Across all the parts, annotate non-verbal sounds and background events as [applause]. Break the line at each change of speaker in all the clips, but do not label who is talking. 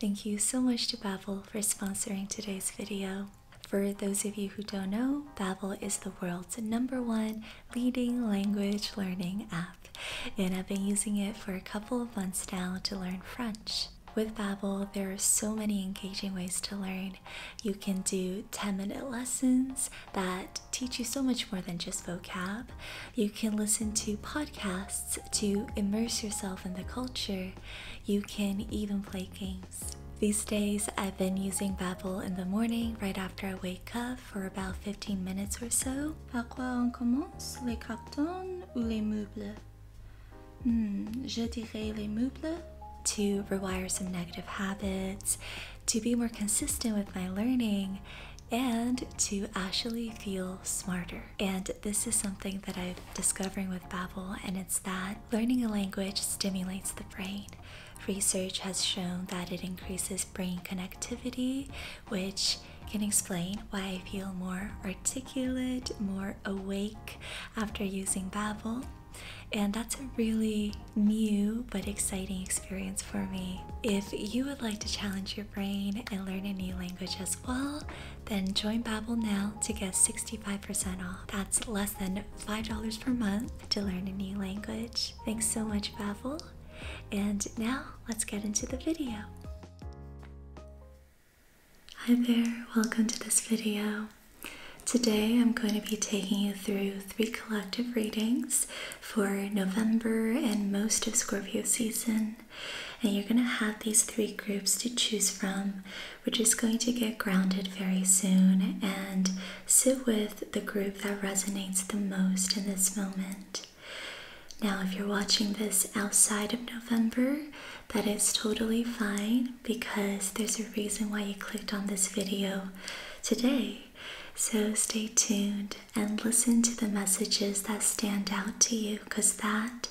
Thank you so much to Babel for sponsoring today's video. For those of you who don't know, Babel is the world's number one leading language learning app, and I've been using it for a couple of months now to learn French. With Babel, there are so many engaging ways to learn. You can do 10-minute lessons that teach you so much more than just vocab. You can listen to podcasts to immerse yourself in the culture, you can even play games. These days, I've been using Babbel in the morning right after I wake up for about 15 minutes or so. Par quoi on commence? Les cartons ou les meubles? Hmm, je dirais les meubles. To rewire some negative habits, to be more consistent with my learning, and to actually feel smarter. And this is something that I'm discovering with Babbel, and it's that learning a language stimulates the brain. Research has shown that it increases brain connectivity, which can explain why I feel more articulate, more awake after using Babbel. And that's a really new but exciting experience for me. If you would like to challenge your brain and learn a new language as well, then join Babbel now to get 65% off. That's less than $5 per month to learn a new language. Thanks so much, Babbel. And now let's get into the video. Hi there, welcome to this video. Today I'm going to be taking you through three collective readings for November and most of Scorpio season. And you're going to have these three groups to choose from. We're just going to get grounded very soon and sit with the group that resonates the most in this moment. Now, if you're watching this outside of November, that is totally fine because there's a reason why you clicked on this video today. So stay tuned and listen to the messages that stand out to you because that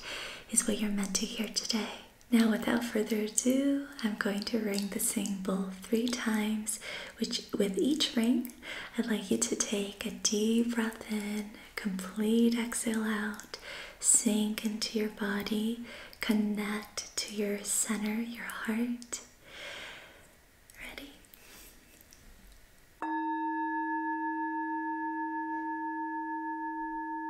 is what you're meant to hear today. Now, without further ado, I'm going to ring the sing bowl three times, which with each ring, I'd like you to take a deep breath in, complete exhale out, sink into your body, connect to your center, your heart. Ready?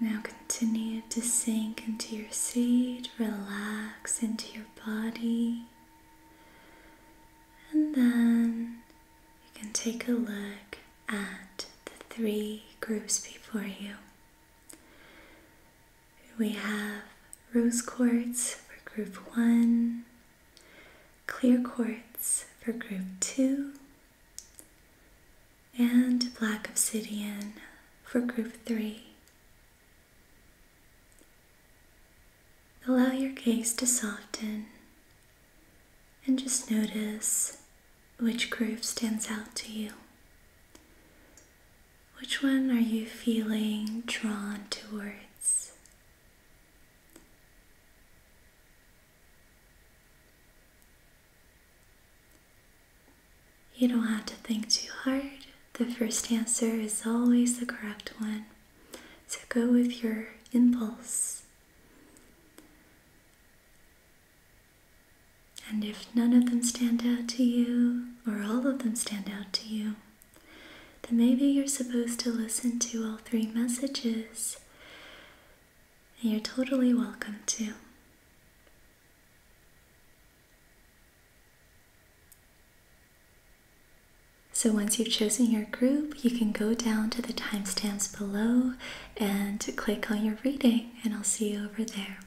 now continue to sink into your seat, relax into your body, and then you can take a look at the three groups before you. We have rose quartz for group one, clear quartz for group two, and black obsidian for group 3. Allow your gaze to soften and just notice which groove stands out to you. Which one are you feeling drawn towards? You don't have to think too hard. The first answer is always the correct one. So go with your impulse. And if none of them stand out to you, or all of them stand out to you, then maybe you're supposed to listen to all three messages. you're totally welcome to. So once you've chosen your group, you can go down to the timestamps below and click on your reading, and I'll see you over there.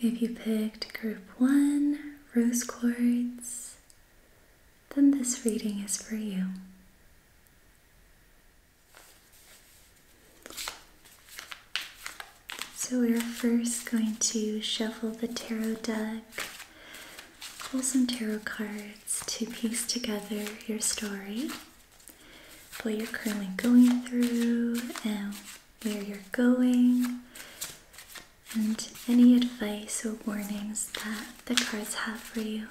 If you picked group one, rose chords, then this reading is for you. So we're first going to shuffle the tarot deck, pull some tarot cards to piece together your story, what you're currently going through, and where you're going, and any advice or warnings that the cards have for you.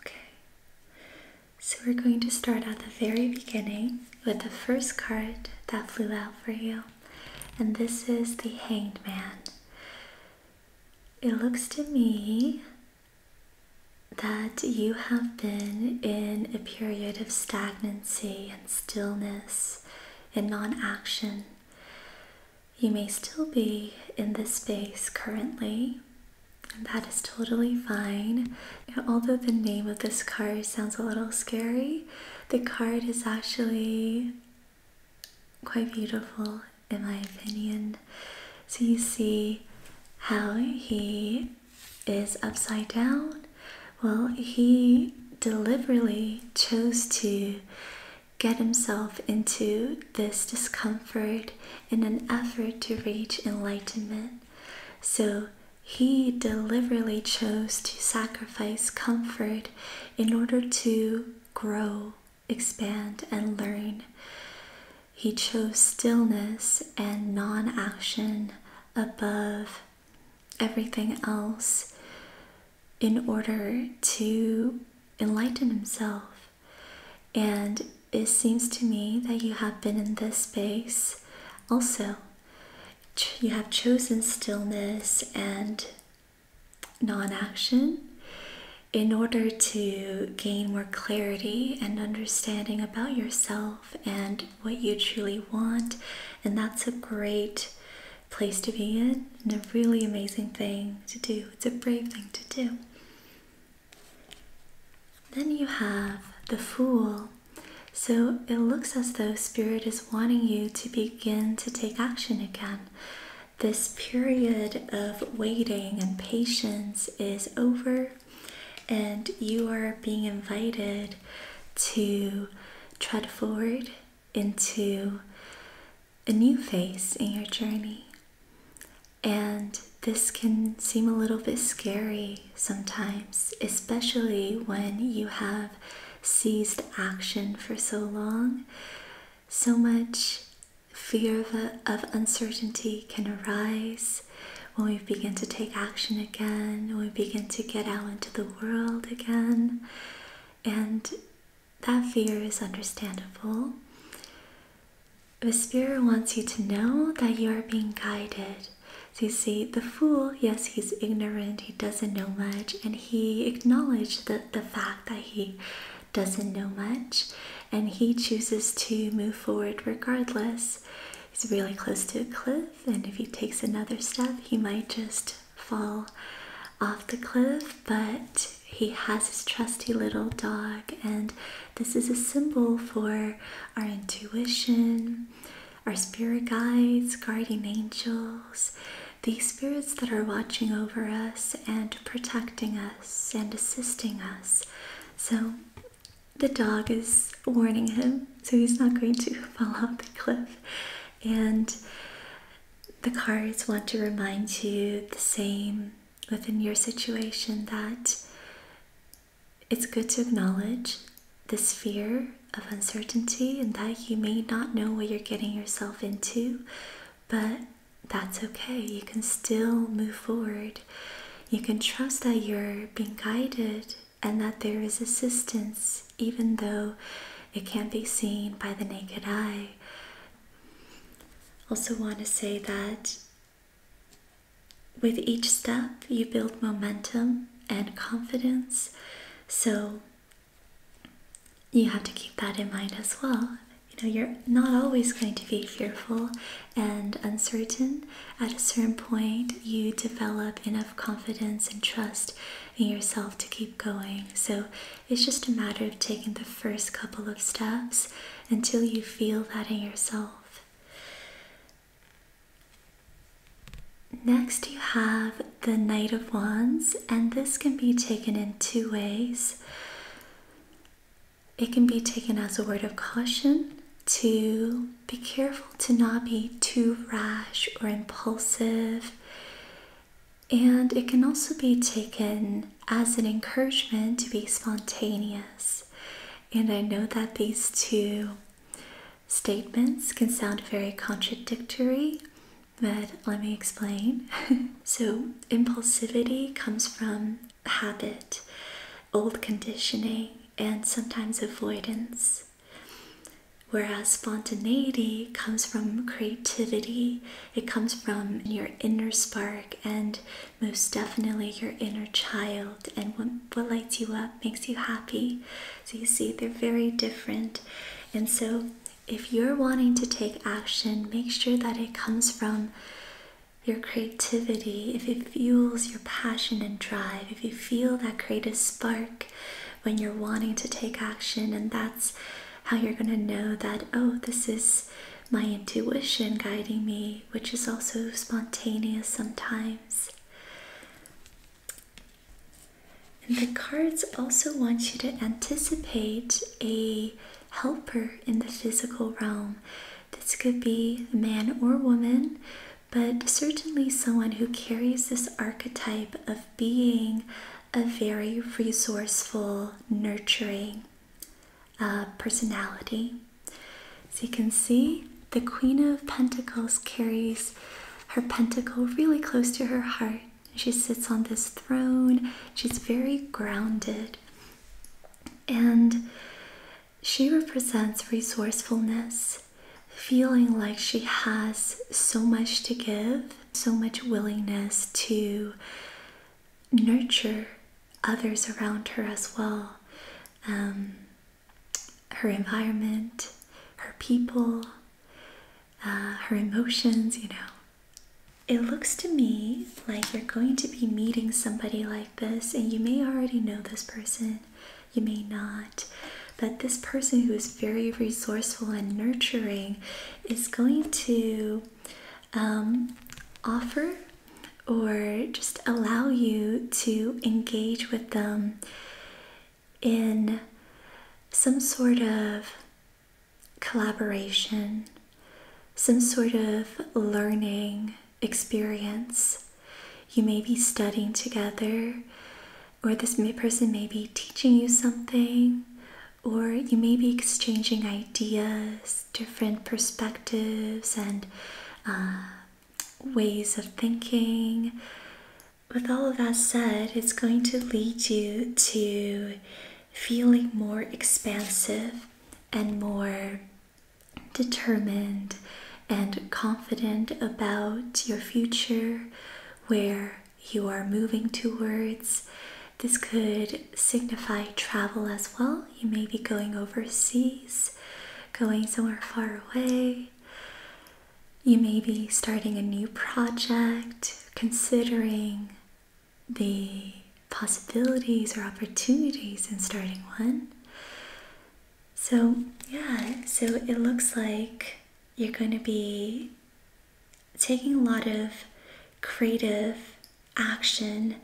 Okay, so we're going to start at the very beginning with the first card that flew out for you, and this is the Hanged Man. It looks to me that you have been in a period of stagnancy and stillness and non action. You may still be in this space currently, and that is totally fine. Although the name of this card sounds a little scary, the card is actually quite beautiful in my opinion. So you see how he is upside down? Well, he deliberately chose to get himself into this discomfort in an effort to reach enlightenment. So he deliberately chose to sacrifice comfort in order to grow expand, and learn. He chose stillness and non action above everything else in order to enlighten himself. And it seems to me that you have been in this space also. You have chosen stillness and non action, in order to gain more clarity and understanding about yourself and what you truly want. And that's a great place to be in and a really amazing thing to do. It's a brave thing to do. Then you have the Fool. So it looks as though Spirit is wanting you to begin to take action again this period of waiting and patience is over, and you are being invited to tread forward into a new phase in your journey. And this can seem a little bit scary sometimes, especially when you have seized action for so long. So much Fear of, of uncertainty can arise when we begin to take action again, when we begin to get out into the world again. And that fear is understandable. The Spirit wants you to know that you are being guided. So you see, the fool, yes, he's ignorant, he doesn't know much, and he acknowledged the, the fact that he doesn't know much and he chooses to move forward regardless. He's really close to a cliff, and if he takes another step, he might just fall off the cliff. But he has his trusty little dog, and this is a symbol for our intuition, our spirit guides, guardian angels, these spirits that are watching over us and protecting us and assisting us. So the dog is warning him, so he's not going to [laughs] fall off the cliff. And the cards want to remind you the same within your situation that it's good to acknowledge this fear of uncertainty and that you may not know what you're getting yourself into, but that's okay. You can still move forward. You can trust that you're being guided and that there is assistance, even though it can't be seen by the naked eye. Also, want to say that with each step, you build momentum and confidence. So, you have to keep that in mind as well you know you're not always going to be fearful and uncertain at a certain point you develop enough confidence and trust in yourself to keep going so it's just a matter of taking the first couple of steps until you feel that in yourself Next, you have the Knight of Wands, and this can be taken in two ways. It can be taken as a word of caution to be careful to not be too rash or impulsive. And it can also be taken as an encouragement to be spontaneous. And I know that these two statements can sound very contradictory, but let me explain. [laughs] so, impulsivity comes from habit, old conditioning, and sometimes avoidance. Whereas spontaneity comes from creativity, it comes from your inner spark and most definitely your inner child and what, lights you up, makes you happy. So you see, they're very different. And so, if you're wanting to take action, make sure that it comes from your creativity, if it fuels your passion and drive, if you feel that creative spark when you're wanting to take action, and that's how you're going to know that, oh, this is my intuition guiding me, which is also spontaneous sometimes. And the cards also want you to anticipate a helper in the physical realm. This could be a man or woman, but certainly someone who carries this archetype of being a very resourceful, nurturing uh, personality. As you can see, the Queen of Pentacles carries her pentacle really close to her heart. She sits on this throne, she's very grounded and she represents resourcefulness, feeling like she has so much to give, so much willingness to nurture others around her as well. Um, her environment, her people, uh, her emotions, you know. It looks to me like you're going to be meeting somebody like this, and you may already know this person, you may not, but this person who is very resourceful and nurturing is going to um, offer or just allow you to engage with them in some sort of collaboration some sort of learning experience. You may be studying together, or this person may be teaching you something, or you may be exchanging ideas, different perspectives, and uh, ways of thinking. With all of that said, it's going to lead you to feeling more expansive and more determined and confident about your future, where you are moving towards. This could signify travel as well. You may be going overseas, going somewhere far away. You may be starting a new project, considering the possibilities or opportunities in starting one. So, yeah, so it looks like you're going to be taking a lot of creative action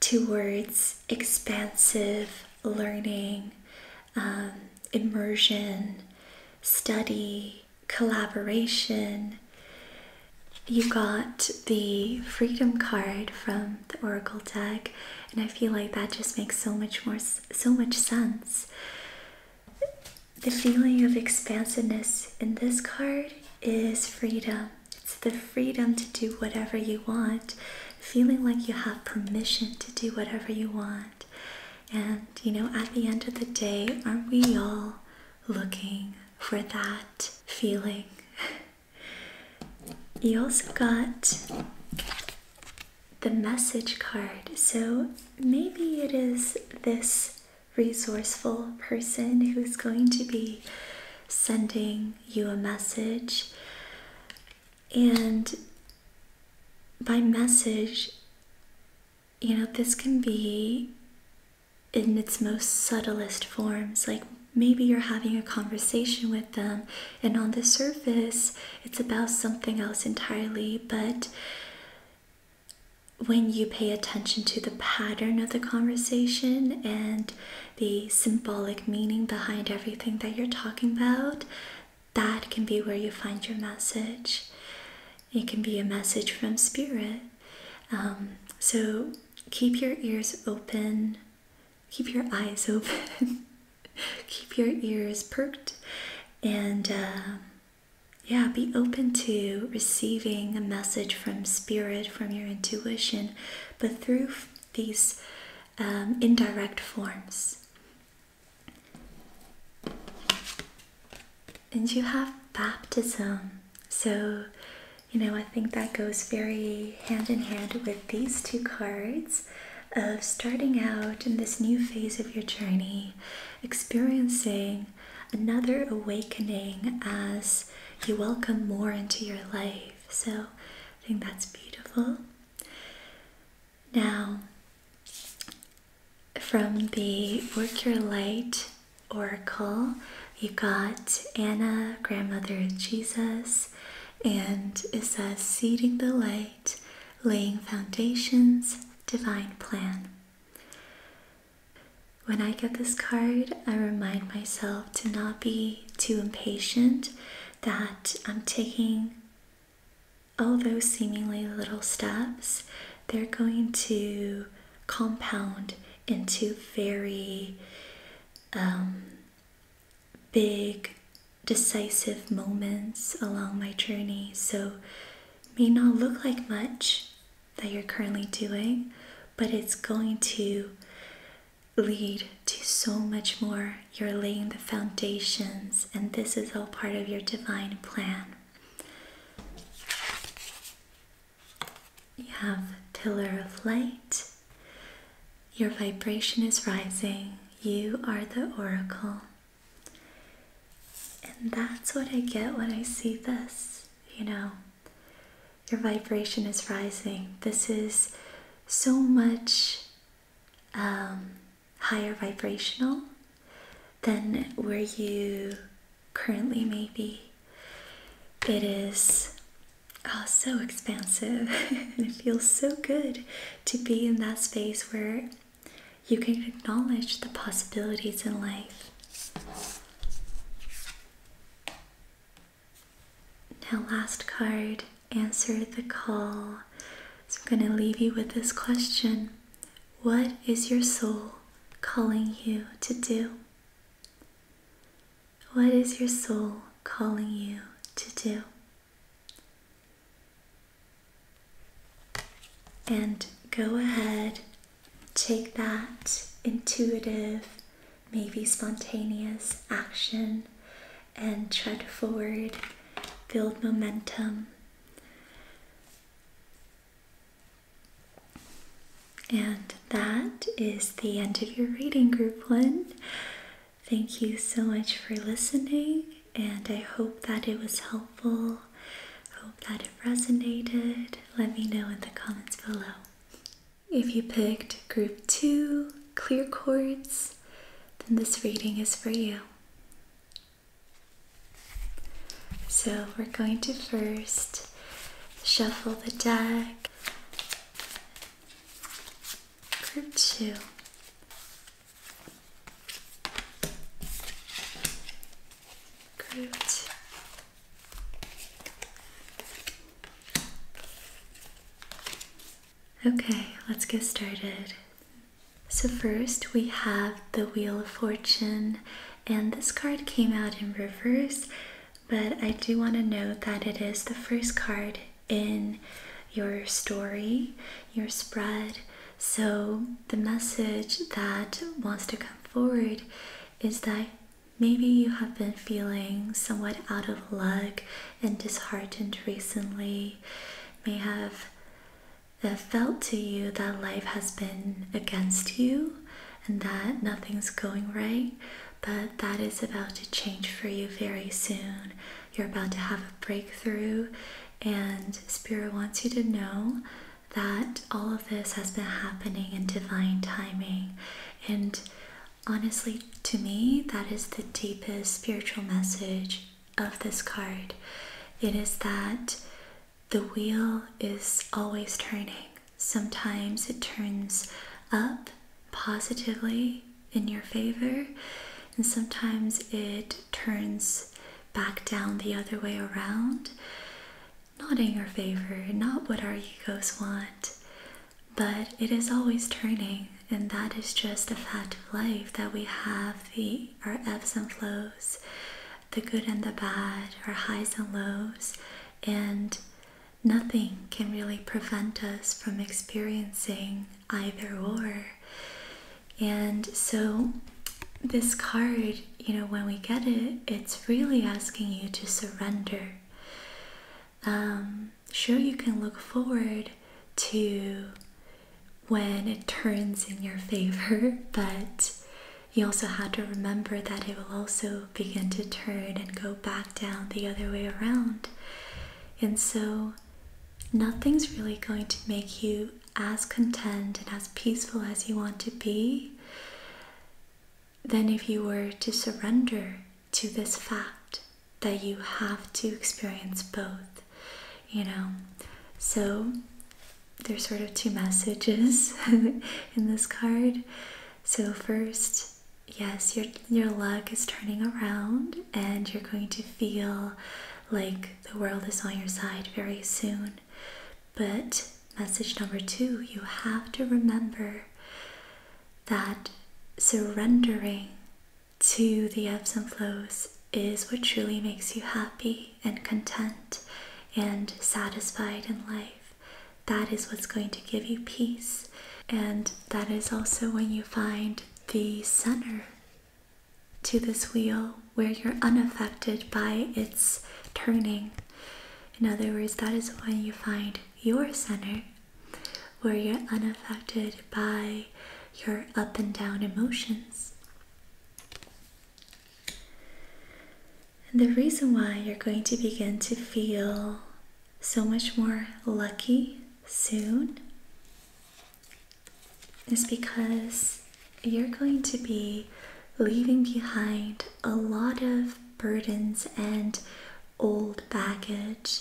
towards expansive learning, um, immersion, study, collaboration, you got the freedom card from the Oracle deck, and I feel like that just makes so much more so much sense. The feeling of expansiveness in this card is freedom. It's the freedom to do whatever you want, feeling like you have permission to do whatever you want. And you know, at the end of the day, aren't we all looking for that feeling? [laughs] You also got the message card. So maybe it is this resourceful person who's going to be sending you a message. And by message, you know, this can be in its most subtlest forms, like maybe you're having a conversation with them, and on the surface, it's about something else entirely. But when you pay attention to the pattern of the conversation and the symbolic meaning behind everything that you're talking about, that can be where you find your message. It can be a message from spirit. Um, so keep your ears open keep your eyes open, [laughs] keep your ears perked, and um, yeah, be open to receiving a message from spirit, from your intuition, but through these um, indirect forms. And you have baptism. So you know, I think that goes very hand in hand with these two cards of starting out in this new phase of your journey, experiencing another awakening as you welcome more into your life. So I think that's beautiful. Now, from the Work Your Light Oracle, you got Anna, grandmother of Jesus, and it says seeding the light, laying foundations, divine plan. When I get this card, I remind myself to not be too impatient, that I'm taking all those seemingly little steps, they're going to compound into very um, big decisive moments along my journey. So may not look like much that you're currently doing, but it's going to lead to so much more. You're laying the foundations, and this is all part of your divine plan. You have Pillar of Light. Your vibration is rising. You are the oracle. And that's what I get when I see this, you know. Your vibration is rising. This is so much um, higher vibrational than where you currently may be. It is Oh, so expansive. [laughs] and it feels so good to be in that space where you can acknowledge the possibilities in life. Now, last card, answer the call. So, I'm going to leave you with this question What is your soul calling you to do? What is your soul calling you to do? And go ahead, take that intuitive, maybe spontaneous action and tread forward, build momentum. And that is the end of your reading, group one. Thank you so much for listening, and I hope that it was helpful. Hope that it resonated. Let me know in the comments below. If you picked group two, clear chords, then this reading is for you. So we're going to first shuffle the deck Group 2. Group Okay, let's get started. So, first we have the Wheel of Fortune, and this card came out in reverse. But I do want to note that it is the first card in your story, your spread. So the message that wants to come forward is that maybe you have been feeling somewhat out of luck and disheartened recently, may have uh, felt to you that life has been against you and that nothing's going right but that is about to change for you very soon. You're about to have a breakthrough, and Spirit wants you to know that all of this has been happening in divine timing. And honestly, to me, that is the deepest spiritual message of this card. It is that the wheel is always turning. Sometimes it turns up positively, in your favor, and sometimes it turns back down the other way around. Not in your favor, not what our egos want, but it is always turning, and that is just a fact of life that we have the our ebbs and flows, the good and the bad, our highs and lows, and nothing can really prevent us from experiencing either or. And so, this card, you know, when we get it, it's really asking you to surrender. Um, sure, you can look forward to when it turns in your favor, [laughs] but you also have to remember that it will also begin to turn and go back down the other way around. And so nothing's really going to make you as content and as peaceful as you want to be than if you were to surrender to this fact that you have to experience both, you know. So there's sort of two messages [laughs] in this card. So, first, yes, your your luck is turning around and you're going to feel like the world is on your side very soon. But message number 2, you have to remember that surrendering to the ebbs and flows is what truly makes you happy and content and satisfied in life. That is what's going to give you peace and that is also when you find the center to this wheel where you're unaffected by its turning. In other words, that is when you find your center where you're unaffected by your up and down emotions. And the reason why you're going to begin to feel so much more lucky soon is because you're going to be leaving behind a lot of burdens and old baggage.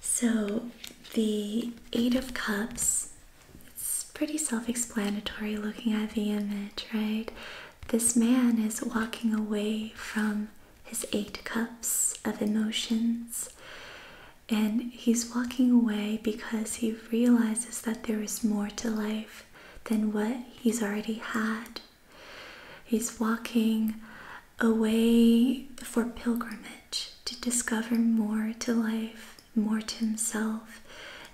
So, the Eight of Cups, it's pretty self explanatory looking at the image, right? This man is walking away from his eight cups of emotions. And he's walking away because he realizes that there is more to life than what he's already had. He's walking away for pilgrimage to discover more to life, more to himself,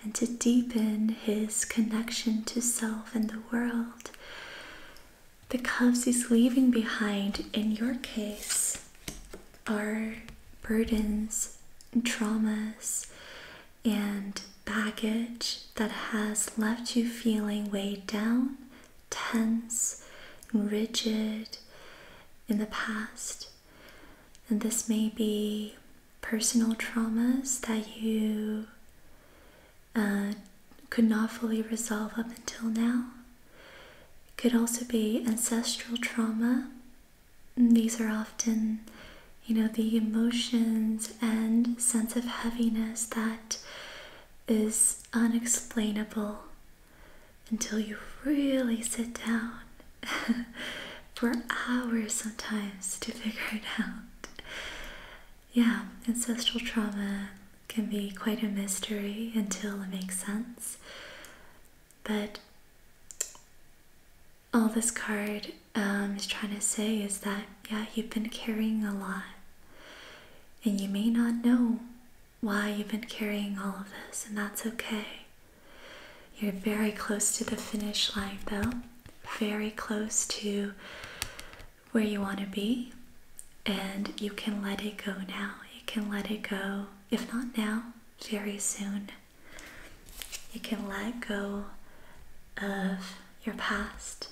and to deepen his connection to self and the world the cuffs he's leaving behind in your case are burdens, traumas, and baggage that has left you feeling weighed down, tense, rigid in the past. And this may be personal traumas that you uh, could not fully resolve up until now. could also be ancestral trauma. These are often, you know, the emotions and sense of heaviness that is unexplainable until you really sit down [laughs] for hours sometimes to figure it out yeah, ancestral trauma can be quite a mystery until it makes sense. But all this card um, is trying to say is that, yeah, you've been carrying a lot. And you may not know why you've been carrying all of this, and that's okay. You're very close to the finish line, though. Very close to where you want to be, and you can let it go now. You can let it go, if not now, very soon. You can let go of your past,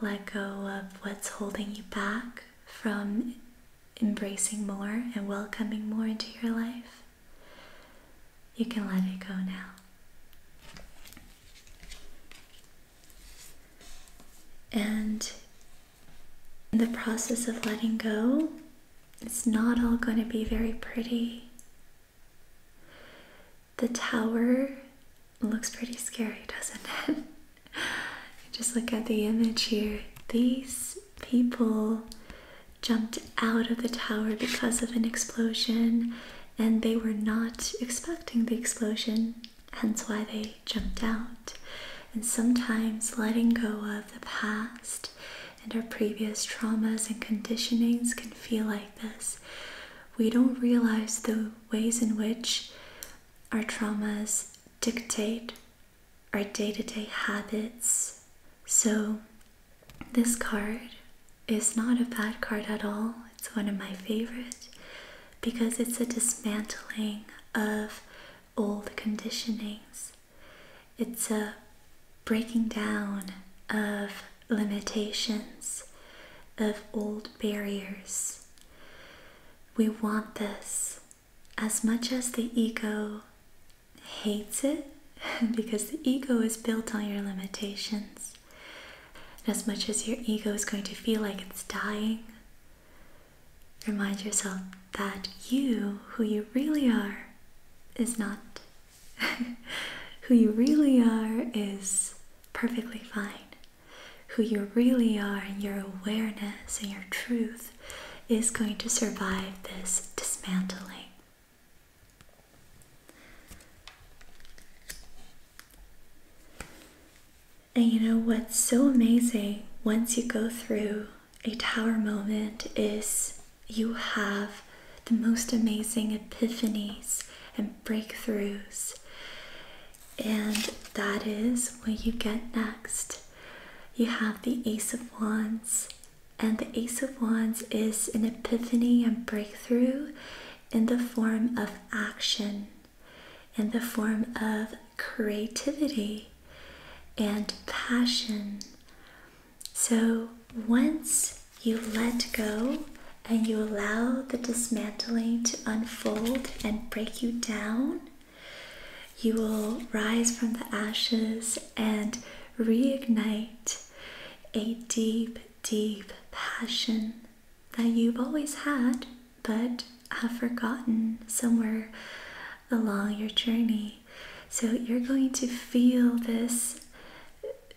let go of what's holding you back from embracing more and welcoming more into your life. You can let it go now. And in the process of letting go, it's not all going to be very pretty. The tower looks pretty scary, [laughs] doesn't it? Just look at the image here. These people jumped out of the tower because of an explosion and they were not expecting the explosion hence why they jumped out. And sometimes letting go of the past and our previous traumas and conditionings can feel like this. We don't realize the ways in which our traumas dictate our day to day habits. So, this card is not a bad card at all, it's one of my favorite because it's a dismantling of old conditionings. It's a breaking down of limitations, of old barriers. We want this as much as the ego hates it [laughs] because the ego is built on your limitations. And as much as your ego is going to feel like it's dying, Remind yourself that you, who you really are, is not. [laughs] who you really are is perfectly fine. Who you really are and your awareness and your truth is going to survive this dismantling. And you know what's so amazing once you go through a tower moment is you have the most amazing epiphanies and breakthroughs. And that is what you get next. You have the Ace of Wands. And the Ace of Wands is an epiphany and breakthrough in the form of action in the form of creativity and passion. So once you let go and you allow the dismantling to unfold and break you down, you will rise from the ashes and reignite a deep, deep passion that you've always had but have forgotten somewhere along your journey. So you're going to feel this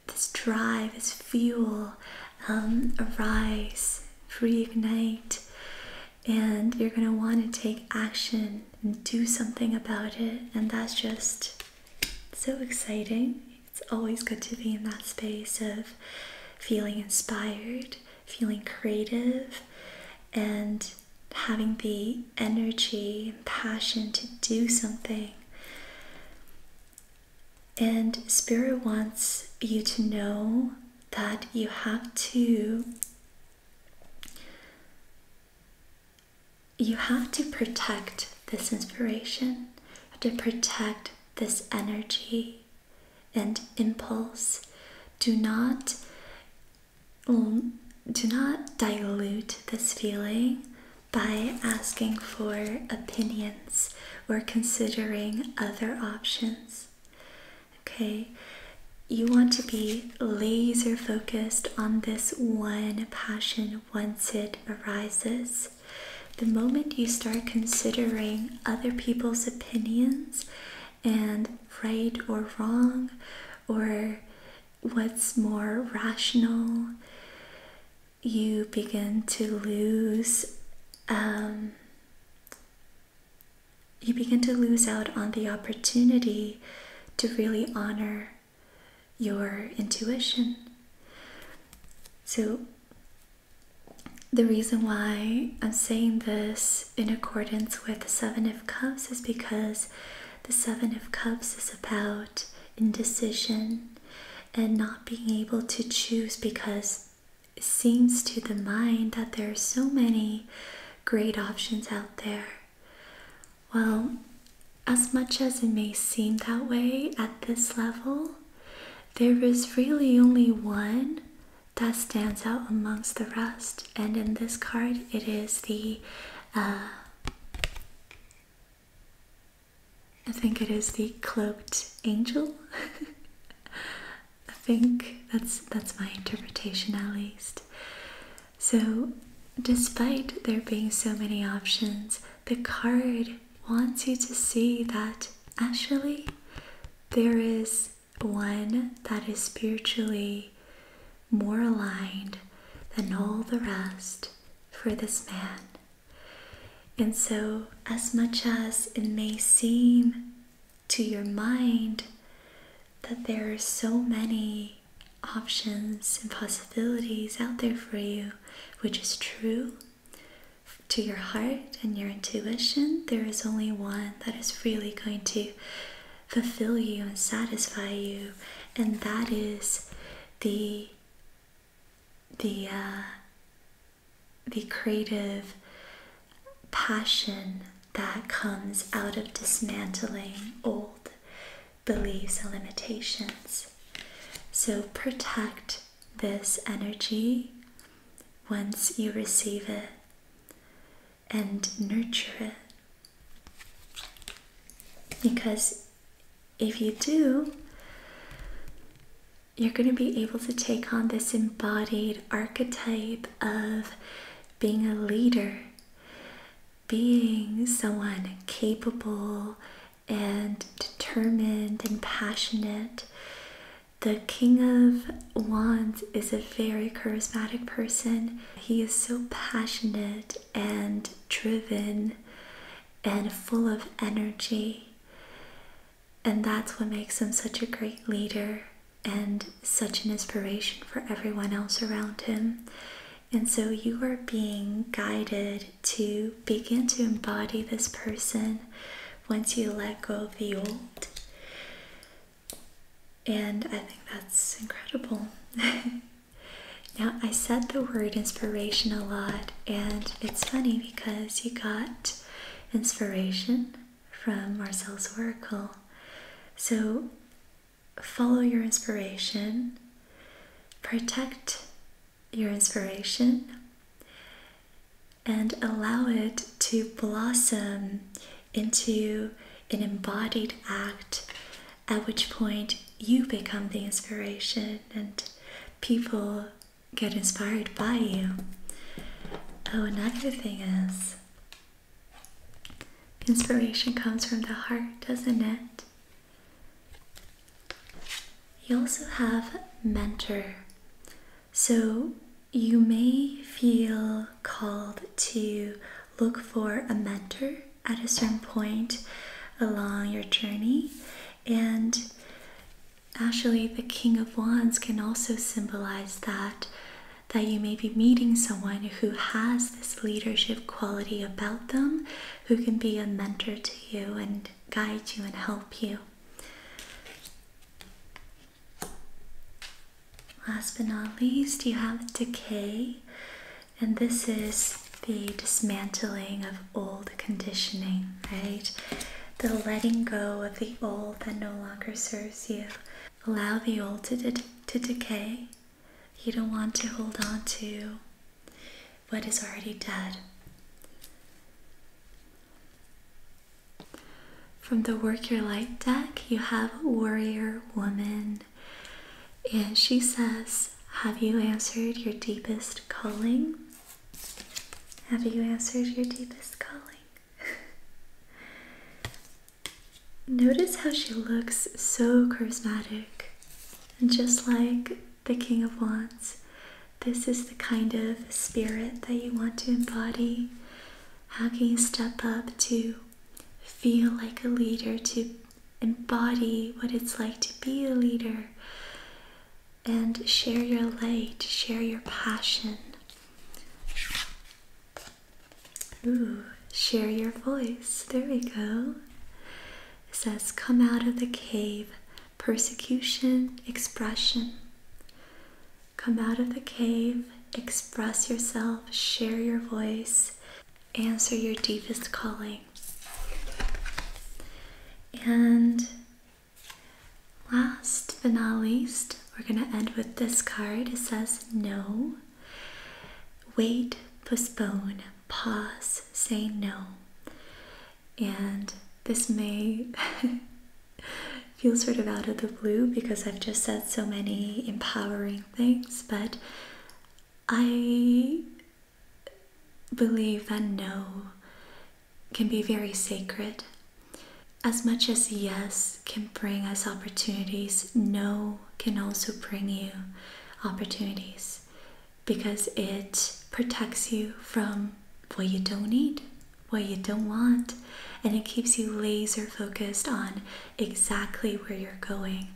this drive, this fuel um, arise, reignite, and you're going to want to take action and do something about it. And that's just so exciting. It's always good to be in that space of feeling inspired feeling creative and having the energy and passion to do something. And Spirit wants you to know that you have to you have to protect this inspiration, to protect this energy and impulse do not um, do not dilute this feeling by asking for opinions or considering other options. Okay, you want to be laser focused on this one passion once it arises. The moment you start considering other people's opinions, and right or wrong or what's more rational, you begin to lose. Um, you begin to lose out on the opportunity to really honor your intuition. So, the reason why I'm saying this in accordance with the Seven of Cups is because the Seven of Cups is about indecision and not being able to choose because it seems to the mind that there are so many great options out there. Well, as much as it may seem that way at this level, there is really only one that stands out amongst the rest. And in this card, it is the, uh, I think it is the cloaked angel. [laughs] I think that's that's my interpretation at least. So, despite there being so many options, the card wants you to see that actually there is one that is spiritually more aligned than all the rest for this man. And so, as much as it may seem to your mind that there are so many options and possibilities out there for you, which is true, to your heart and your intuition, there is only one that is really going to fulfill you and satisfy you, and that is the the uh, the creative passion that comes out of dismantling old beliefs and limitations. So protect this energy once you receive it and nurture it. Because if you do, you're going to be able to take on this embodied archetype of being a leader, being someone capable and determined and passionate the King of Wands is a very charismatic person. He is so passionate and driven and full of energy. And that's what makes him such a great leader and such an inspiration for everyone else around him. And so you are being guided to begin to embody this person once you let go of the old. And I think that's incredible. [laughs] now, I said the word inspiration a lot, and it's funny because you got inspiration from Marcel's Oracle. So, follow your inspiration, protect your inspiration, and allow it to blossom into an embodied act, at which point you become the inspiration and people get inspired by you. Oh, another thing is inspiration comes from the heart, doesn't it? You also have mentor. So you may feel called to look for a mentor at a certain point along your journey. And actually, the King of Wands can also symbolize that. That you may be meeting someone who has this leadership quality about them, who can be a mentor to you and guide you and help you. Last but not least, you have decay, and this is the dismantling of old conditioning, right? The letting go of the old that no longer serves you. Allow the old to, to decay. You don't want to hold on to what is already dead. From the Work Your Light deck, you have a warrior woman, and she says, Have you answered your deepest calling? Have you answered your deepest calling? [laughs] Notice how she looks so charismatic. And just like the King of Wands, this is the kind of spirit that you want to embody how can you step up to feel like a leader, to embody what it's like to be a leader, and share your light, share your passion? Ooh, share your voice. There we go. It says, Come out of the cave, persecution, expression. Come out of the cave, express yourself, share your voice, answer your deepest calling. And last but not least, we're going to end with this card. It says no. Wait, postpone, pause, say no. And this may [laughs] feels sort of out of the blue because I've just said so many empowering things, but I believe that no can be very sacred. As much as yes can bring us opportunities, no can also bring you opportunities because it protects you from what you don't need what you don't want, and it keeps you laser focused on exactly where you're going.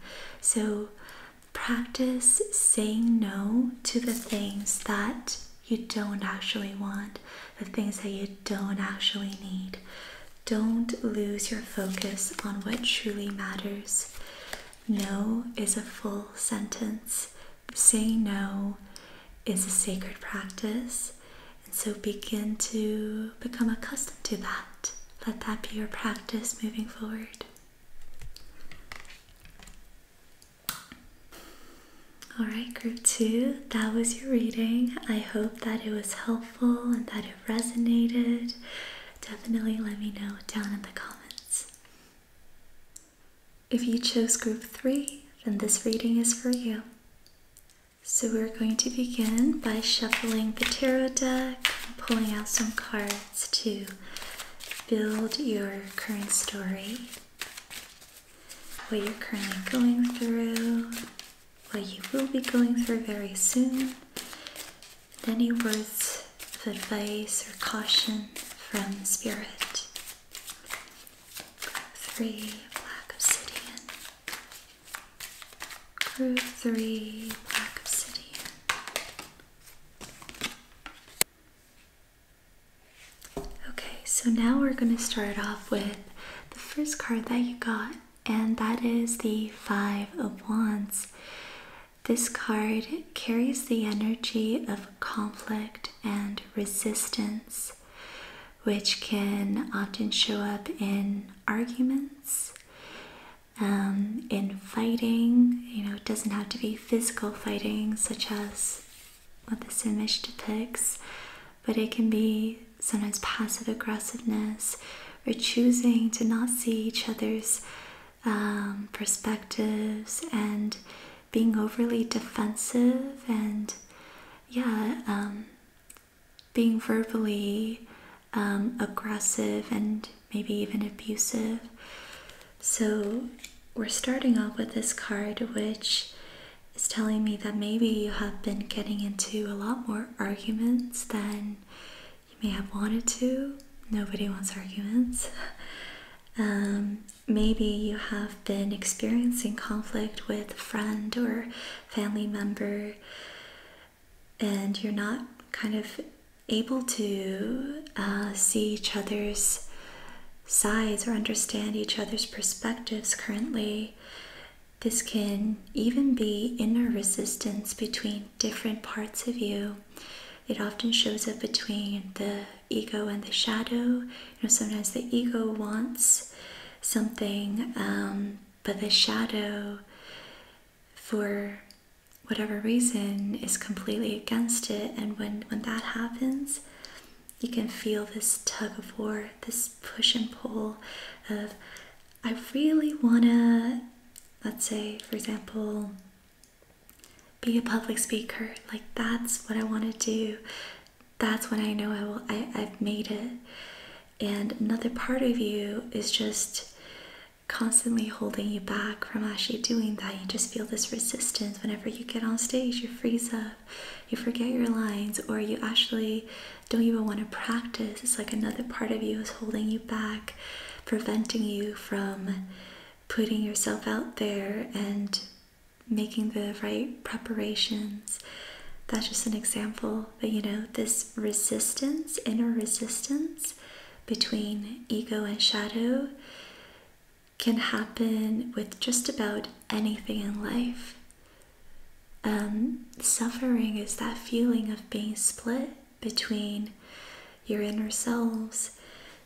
So, practice saying no to the things that you don't actually want, the things that you don't actually need. Don't lose your focus on what truly matters. No is a full sentence. Say no is a sacred practice. And so begin to become accustomed to that. Let that be your practice moving forward. All right, group two, that was your reading. I hope that it was helpful and that it resonated. Definitely let me know down in the comments. If you chose group three, then this reading is for you. So we're going to begin by shuffling the tarot deck and pulling out some cards to build your current story, what you're currently going through, what you will be going through very soon, and any words of advice or caution from Spirit. Three black obsidian. Groove 3, Black Obsidian. Okay, so now we're going to start off with the first card that you got, and that is the Five of Wands. This card carries the energy of conflict and resistance which can often show up in arguments, um, in fighting. You know, it doesn't have to be physical fighting, such as what this image depicts, but it can be sometimes passive aggressiveness or choosing to not see each other's um, perspectives and being overly defensive and yeah um, being verbally um, aggressive and maybe even abusive. So, we're starting off with this card, which is telling me that maybe you have been getting into a lot more arguments than you may have wanted to. Nobody wants arguments. [laughs] Um, maybe you have been experiencing conflict with a friend or family member and you're not kind of able to uh, see each other's sides or understand each other's perspectives currently. This can even be inner resistance between different parts of you. It often shows up between the ego and the shadow. You know, sometimes the ego wants something um, but the shadow, for whatever reason, is completely against it. And when, when that happens, you can feel this tug of war, this push and pull of, I really want to, let's say, for example, be a public speaker. Like, that's what I want to do that's when I know I will I, I've made it. And another part of you is just constantly holding you back from actually doing that. You just feel this resistance whenever you get on stage, you freeze up, you forget your lines, or you actually don't even want to practice. It's like another part of you is holding you back, preventing you from putting yourself out there and making the right preparations. That's just an example but you know, this resistance, inner resistance between ego and shadow can happen with just about anything in life. Um, suffering is that feeling of being split between your inner selves.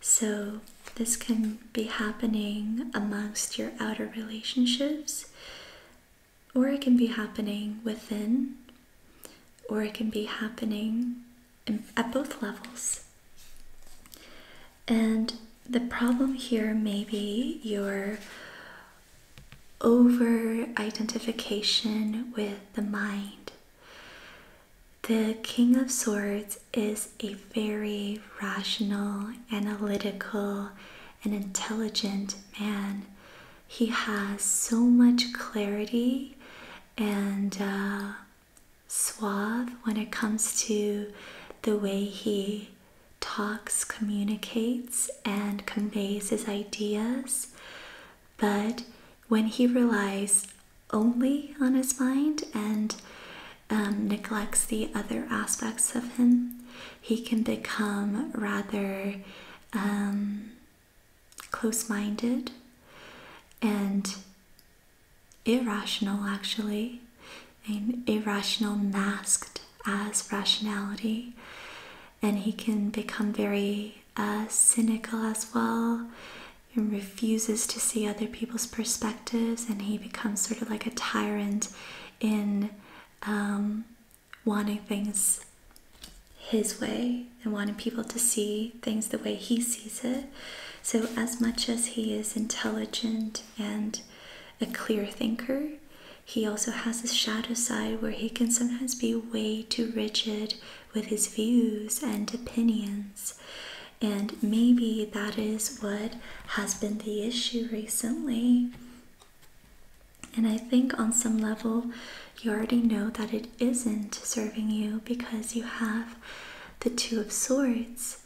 So, this can be happening amongst your outer relationships or it can be happening within, or it can be happening at both levels. And the problem here may be your over identification with the mind. The King of Swords is a very rational, analytical, an intelligent man. He has so much clarity and uh, suave when it comes to the way he talks, communicates, and conveys his ideas. But when he relies only on his mind and um, neglects the other aspects of him, he can become rather um, close minded and irrational, actually, and irrational masked as rationality. And he can become very uh, cynical as well and refuses to see other people's perspectives. And he becomes sort of like a tyrant in um, wanting things his way and wanting people to see things the way he sees it. So, as much as he is intelligent and a clear thinker, he also has a shadow side where he can sometimes be way too rigid with his views and opinions. And maybe that is what has been the issue recently and I think on some level, you already know that it isn't serving you because you have the Two of Swords.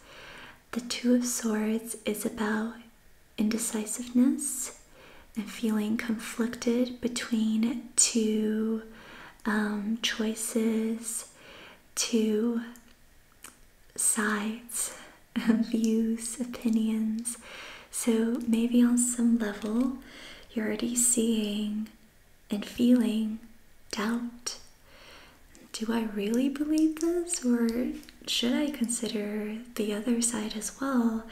The Two of Swords is about indecisiveness and feeling conflicted between two um, choices, two sides views, opinions. So maybe on some level, you're already seeing and feeling doubt. Do I really believe this, or should I consider the other side as well?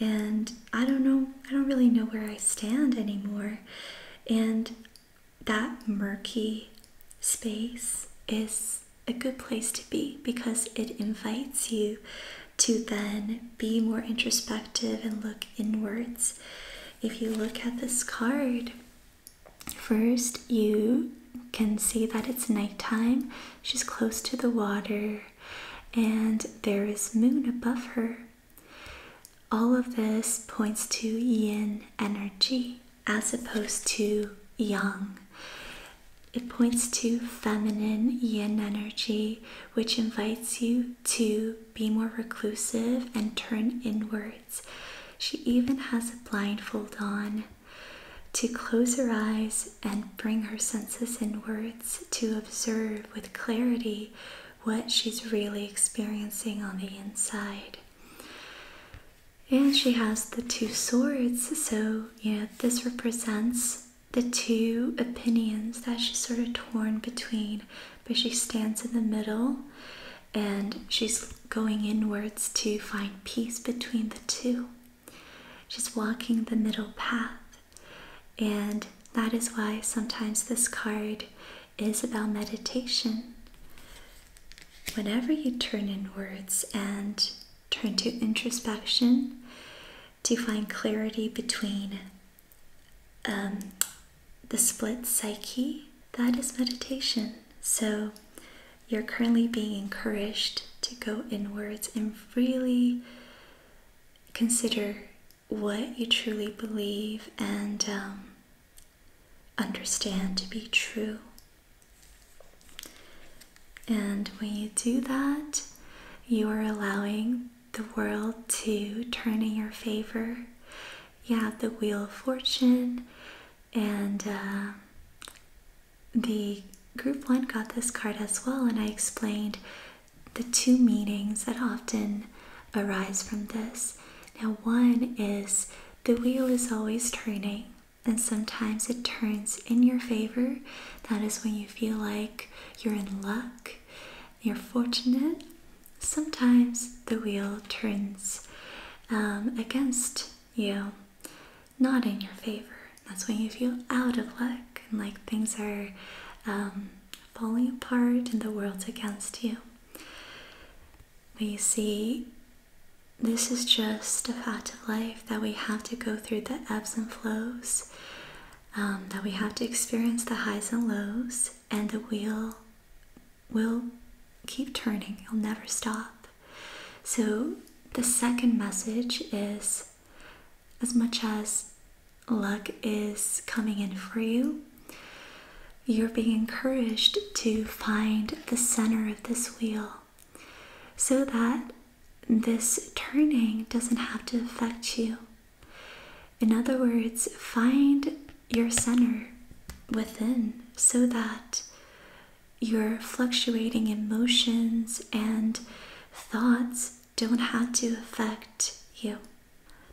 And I don't know, I don't really know where I stand anymore. And that murky space is a good place to be because it invites you to then be more introspective and look inwards. If you look at this card, first you can see that it's nighttime, she's close to the water, and there is moon above her. All of this points to yin energy as opposed to yang. It points to feminine yin energy, which invites you to be more reclusive and turn inwards. She even has a blindfold on to close her eyes and bring her senses inwards to observe with clarity what she's really experiencing on the inside. And she has the two swords, so you know, this represents the two opinions that she's sort of torn between, but she stands in the middle and she's going inwards to find peace between the two. She's walking the middle path, and that is why sometimes this card is about meditation. Whenever you turn inwards and turn to introspection, to find clarity between um, the split psyche. That is meditation. So you're currently being encouraged to go inwards and really consider what you truly believe and um, understand to be true. And when you do that, you are allowing the world to turn in your favor. You have the Wheel of Fortune, and uh, the group one got this card as well. And I explained the two meanings that often arise from this. Now, one is the wheel is always turning, and sometimes it turns in your favor. That is when you feel like you're in luck, you're fortunate, sometimes the wheel turns um, against you, not in your favor. That's when you feel out of luck and like things are um, falling apart and the world's against you. But you see, this is just a fact of life that we have to go through the ebbs and flows, um, that we have to experience the highs and lows, and the wheel will keep turning, it'll never stop. So, the second message is as much as luck is coming in for you, you're being encouraged to find the center of this wheel so that this turning doesn't have to affect you. In other words, find your center within so that your fluctuating emotions and thoughts don't have to affect you,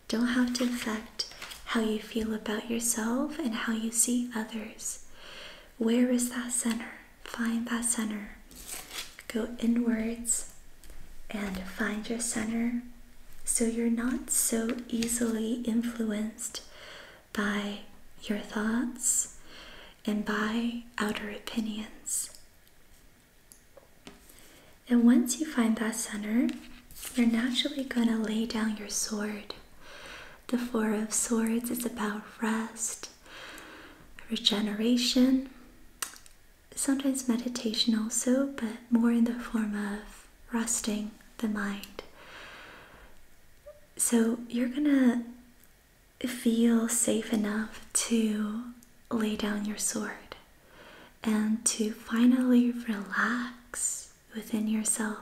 don't have to affect how you feel about yourself and how you see others. Where is that center? Find that center. Go inwards and find your center so you're not so easily influenced by your thoughts and by outer opinions. And once you find that center, you're naturally going to lay down your sword. The Four of Swords is about rest, regeneration, sometimes meditation also, but more in the form of resting the mind. So you're gonna feel safe enough to lay down your sword and to finally relax within yourself.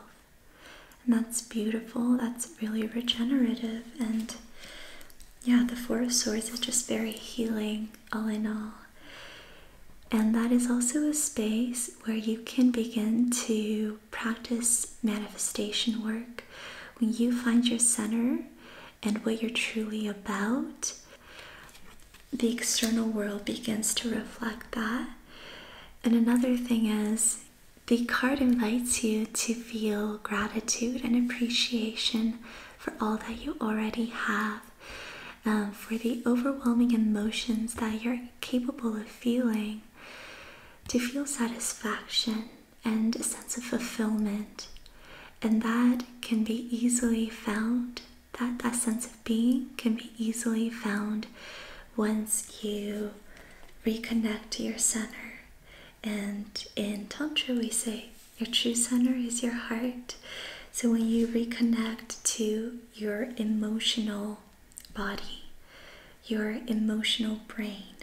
And that's beautiful, that's really regenerative, and yeah, the Four of Swords is just very healing, all in all. And that is also a space where you can begin to practice manifestation work. When you find your center and what you're truly about, the external world begins to reflect that. And another thing is, the card invites you to feel gratitude and appreciation for all that you already have, um, for the overwhelming emotions that you're capable of feeling, to feel satisfaction and a sense of fulfillment. And that can be easily found, that, that sense of being can be easily found once you reconnect to your center. And in Tantra, we say, your true center is your heart. So when you reconnect to your emotional body, your emotional brain,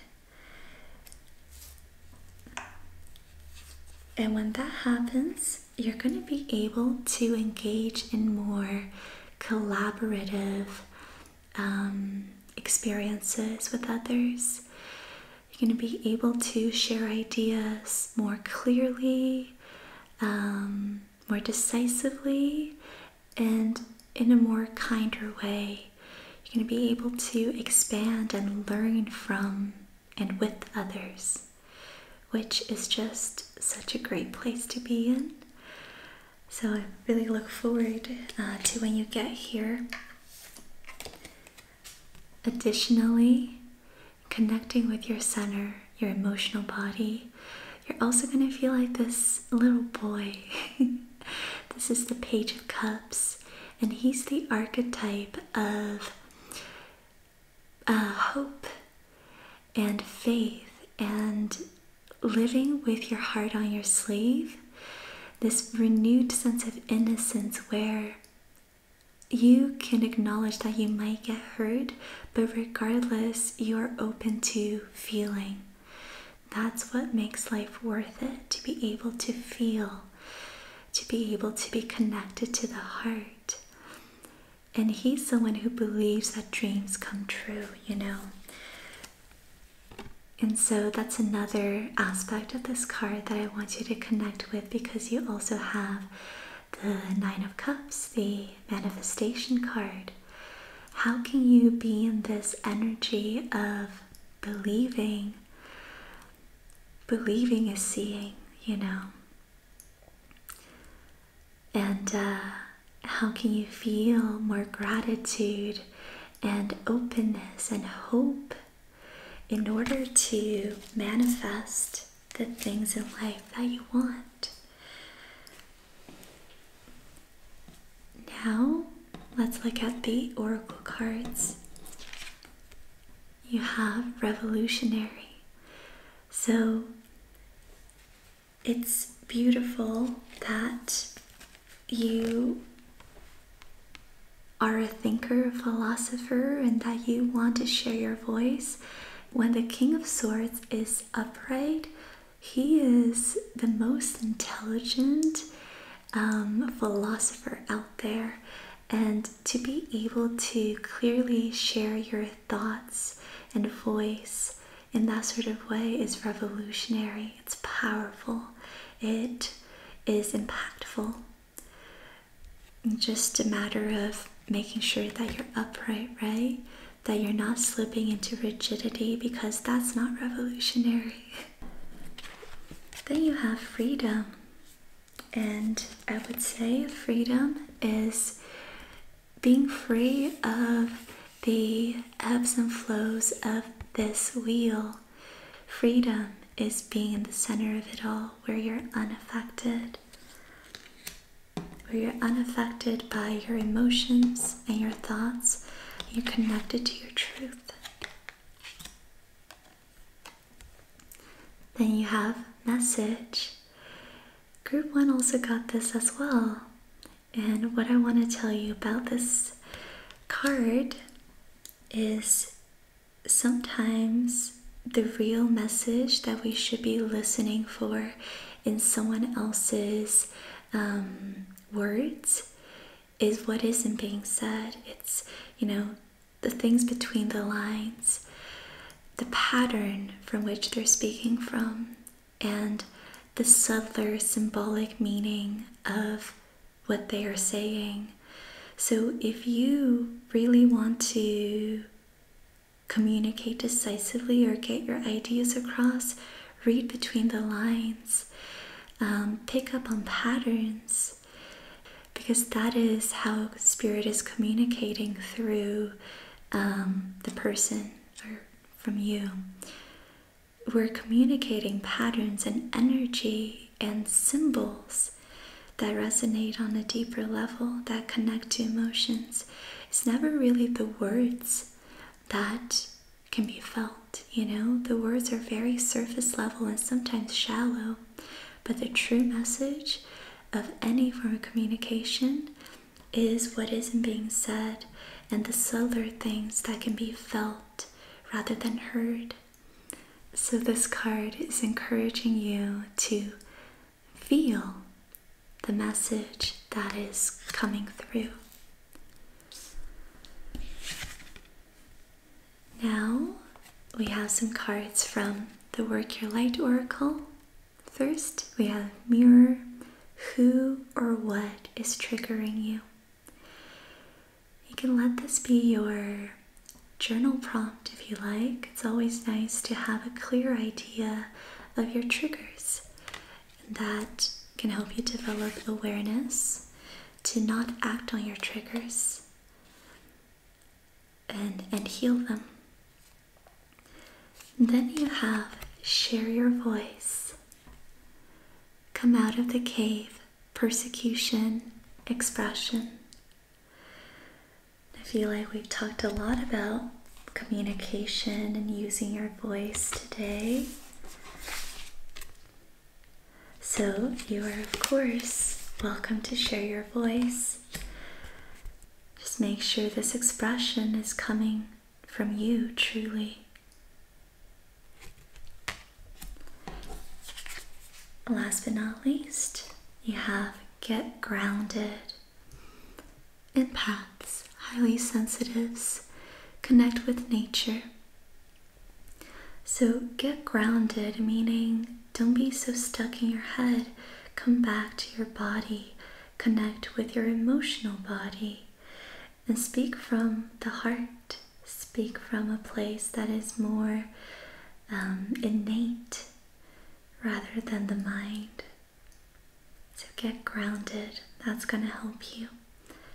and when that happens, you're going to be able to engage in more collaborative um, experiences with others. You're going to be able to share ideas more clearly, um, more decisively, and in a more kinder way. You're going to be able to expand and learn from and with others, which is just such a great place to be in. So I really look forward uh, to when you get here. Additionally, connecting with your center, your emotional body, you're also going to feel like this little boy. [laughs] this is the Page of Cups, and he's the archetype of uh, hope and faith and living with your heart on your sleeve. This renewed sense of innocence where you can acknowledge that you might get hurt, but regardless, you are open to feeling. That's what makes life worth it to be able to feel, to be able to be connected to the heart. And he's someone who believes that dreams come true, you know. And so that's another aspect of this card that I want you to connect with because you also have the Nine of Cups, the manifestation card. How can you be in this energy of believing? Believing is seeing, you know. And uh, how can you feel more gratitude and openness and hope in order to manifest the things in life that you want. Now, let's look at the oracle cards. You have revolutionary. So, it's beautiful that you are a thinker, a philosopher, and that you want to share your voice. When the King of Swords is upright, he is the most intelligent um, philosopher out there. And to be able to clearly share your thoughts and voice in that sort of way is revolutionary, it's powerful, it is impactful. Just a matter of making sure that you're upright, right? That you're not slipping into rigidity because that's not revolutionary. [laughs] then you have freedom. And I would say freedom is being free of the ebbs and flows of this wheel Freedom is being in the center of it all, where you're unaffected. Where you're unaffected by your emotions and your thoughts, you're connected to your truth. Then you have message. Group one also got this as well. And what I want to tell you about this card is sometimes the real message that we should be listening for in someone else's um, words is what isn't being said. It's, you know, the things between the lines, the pattern from which they're speaking from, and the subtler symbolic meaning of what they are saying. So, if you really want to communicate decisively or get your ideas across, read between the lines, um, pick up on patterns, because that is how spirit is communicating through um, the person or from you. We're communicating patterns and energy and symbols that resonate on a deeper level that connect to emotions. It's never really the words that can be felt, you know? The words are very surface level and sometimes shallow, but the true message of any form of communication is what isn't being said and the subtler things that can be felt rather than heard. So, this card is encouraging you to feel the message that is coming through. Now, we have some cards from the Work Your Light Oracle. First, we have Mirror. Who or what is triggering you? You can let this be your journal prompt if you like. It's always nice to have a clear idea of your triggers. And that can help you develop awareness to not act on your triggers and, and heal them. Then you have share your voice. Come out of the cave, persecution, expression, I feel like we've talked a lot about communication and using your voice today. So, you are, of course, welcome to share your voice. Just make sure this expression is coming from you truly. Last but not least, you have get grounded. Empaths, highly sensitives, connect with nature. So get grounded, meaning don't be so stuck in your head. Come back to your body, connect with your emotional body, and speak from the heart. Speak from a place that is more um, innate rather than the mind. So get grounded, that's going to help you.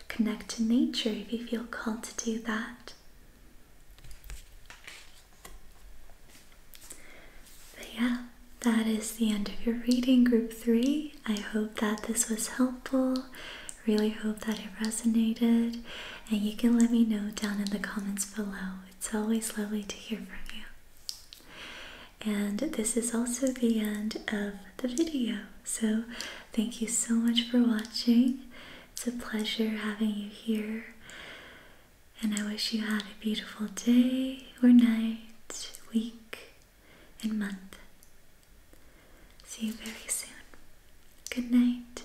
Connect to nature if you feel called to do that. But yeah, that is the end of your reading, group three. I hope that this was helpful. Really hope that it resonated and you can let me know down in the comments below. It's always lovely to hear from you. And this is also the end of the video. So, thank you so much for watching. It's a pleasure having you here. And I wish you had a beautiful day or night, week, and month. See you very soon. Good night.